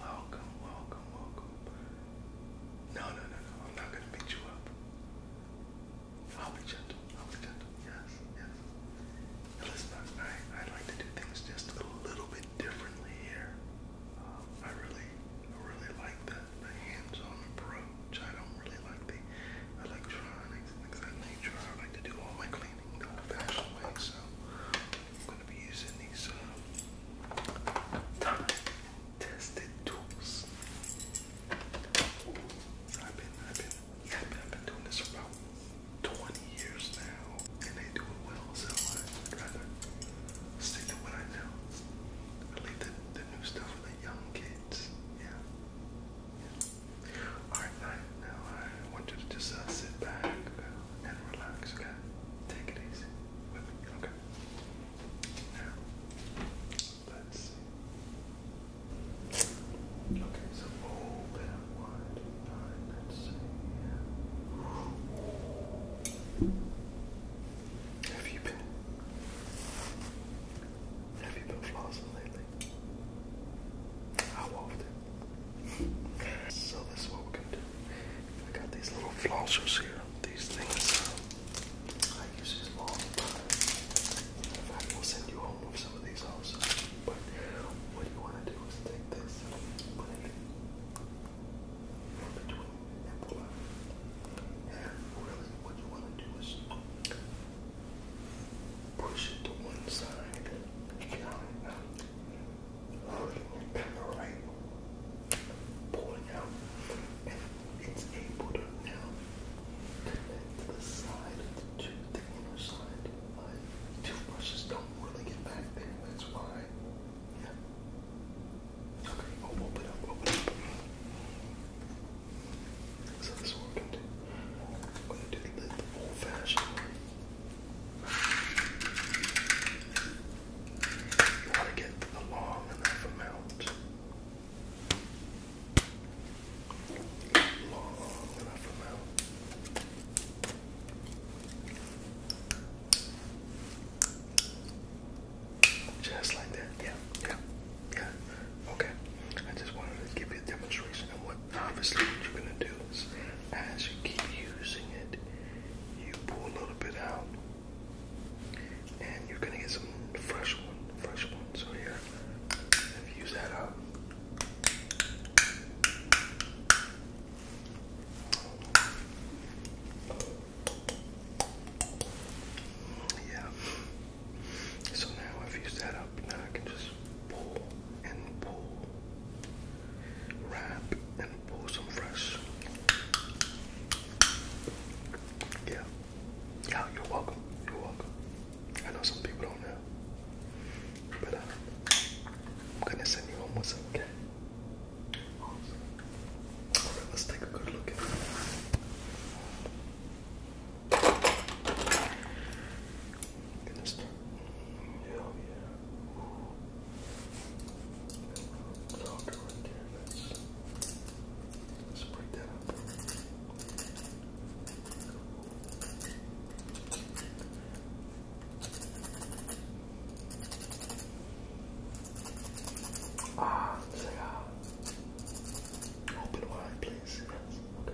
Welcome, welcome, welcome. No, no, no, no. I'm not gonna beat you up. I'll be gentle. I'll be gentle. Yes, yes. listen, I I like to do things just a little bit differently here. Um, I really, really like the hands-on approach. I don't really like the electronics and things nature. I like to do all my cleaning the old way. So I'm gonna be using these uh, time-tested tools. I've been, I've been, I've been, I've been doing this for about 20 years now, and they do it well. So I'd rather stick to what I know. I leave the, the new stuff for the young kids. Yeah. All right, now I want you to just uh, sit back. Uh, and relax, okay? Take it easy okay? Now, let's Okay, so open up wide. Alright, Have you been have you been flossing lately? How often? So this is what we're gonna do. We got these little flossers here. These things um, I use these all the time. In fact, we'll send you home with some of these also. But what you wanna do is take this, put it in between and pull out. And really what you wanna do is push it to one side hurting and right, pulling out, and it's able to now connect the side of the tooth, the inner side. My toothbrushes don't really get back there, that's why. Yeah. Okay, oh, open up, open up. So this is what do. I'm gonna do the old fashioned way. You to get the long enough amount. Long enough amount. Just like that, yeah, yeah, yeah. Okay, I just wanted to give you a demonstration of what obviously, what you're gonna do is, as you keep using it, you pull a little bit out, and you're gonna get some fresh one, fresh one. So here, use that up. Yeah. So now I've used that up. Now I can just pull and pull. Wrap and pull some fresh. Yeah. Yeah, you're welcome. You're welcome. I know some people don't know. But uh, I'm gonna send you home with some okay. let's take a good look at it. And this Hell yeah. Ooh. That's all good right there. Let's, break that up. Ah, say ah. Open wide, please. Yes. Okay.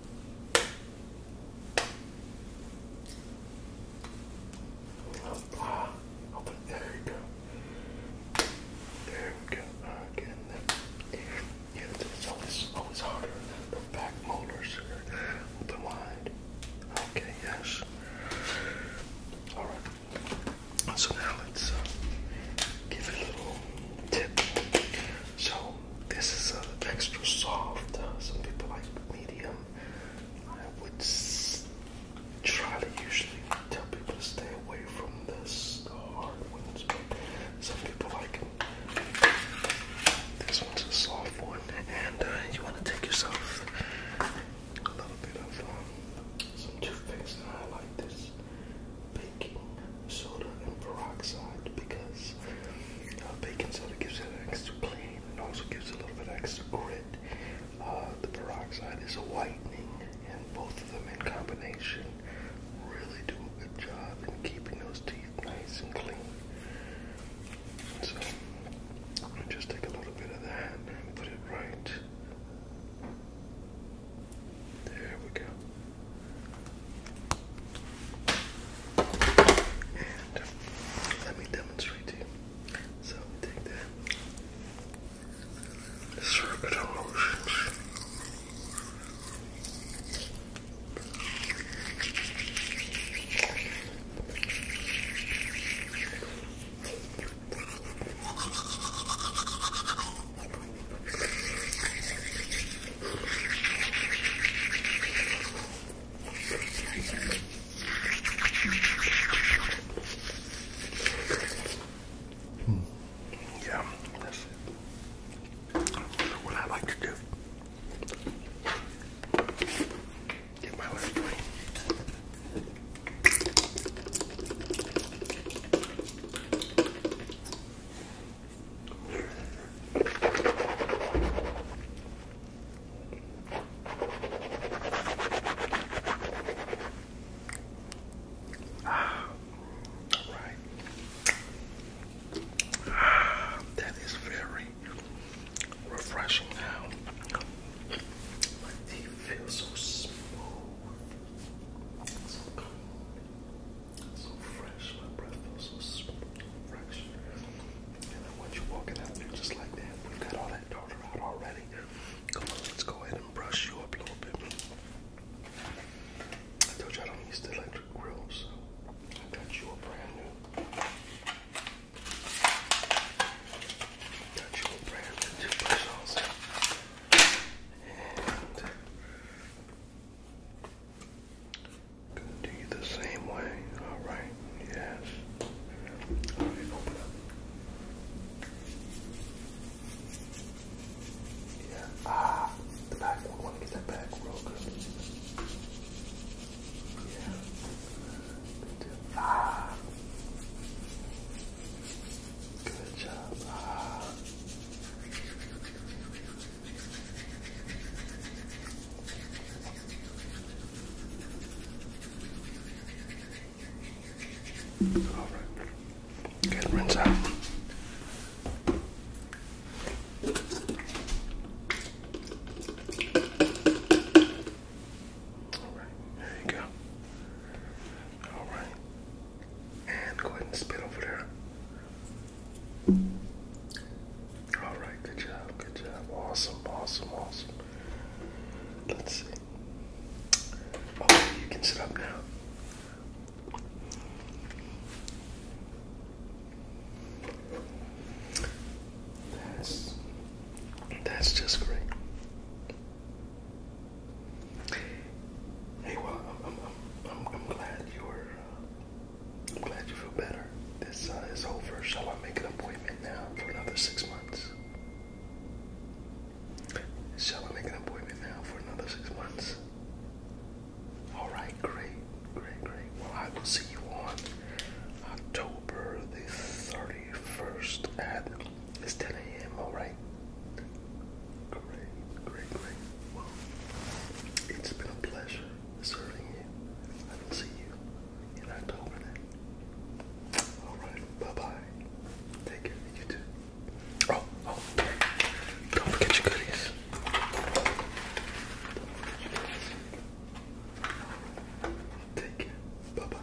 Ah, There you go. There we go. Again, Yeah, it's always always harder the back molars are open Okay, yes. All right. So now uh, give it a little tip. So this is uh, extra soft. Uh, some people like medium. I would try to usually tell people to stay away from this, the hard ones. But some people like it. this one's a soft one, and uh, you want to take yourself a little bit of um, some toothpaste. And I like this baking soda and peroxide because uh, baking soda gives it an extra clean and also gives a little bit extra grit. Uh, the peroxide is a whitening, and both of them in combination really do a good job in keeping those teeth nice and clean. So, just take a little bit of that and put it right there we go. And uh, let me demonstrate to you. So take that circular motions. Hmm. Yeah, that's what I like to do. Get my left brain. Ah, all right. Ah, that is very refreshing now. My teeth feel so smooth. So clean, so fresh. My breath feels so fresh. And then once you're walking out there just like that, we've got all that daughter out already. Come on, let's go ahead and brush you up a little bit. I told you I don't electric grill, I got you a brand new. Touchable the same way. Alright, yes. Yeah. Ah, the back one. Want to get that back real good. Yeah. Good job. All right. Get rinse out. Alright, there you go. Alright. And go ahead and spit over there. Alright, good job, good job. Awesome, awesome, awesome. Let's see. Okay, oh, you can sit up now. That's that's just great. Hey, well, I'm I'm I'm, glad you're uh, glad you feel better. This uh, is over. Shall I make an appointment now for another six months? Shall I make an appointment now for another six months? All right, great, great, great. Well, I will see you on October the 31st at 10 a.m. Alright. Great, great, great. Well, it's been a pleasure serving you. I will see you in October then. Alright, bye bye. Take care, you too. Oh, oh. Don't forget your goodies. Take care. Bye bye.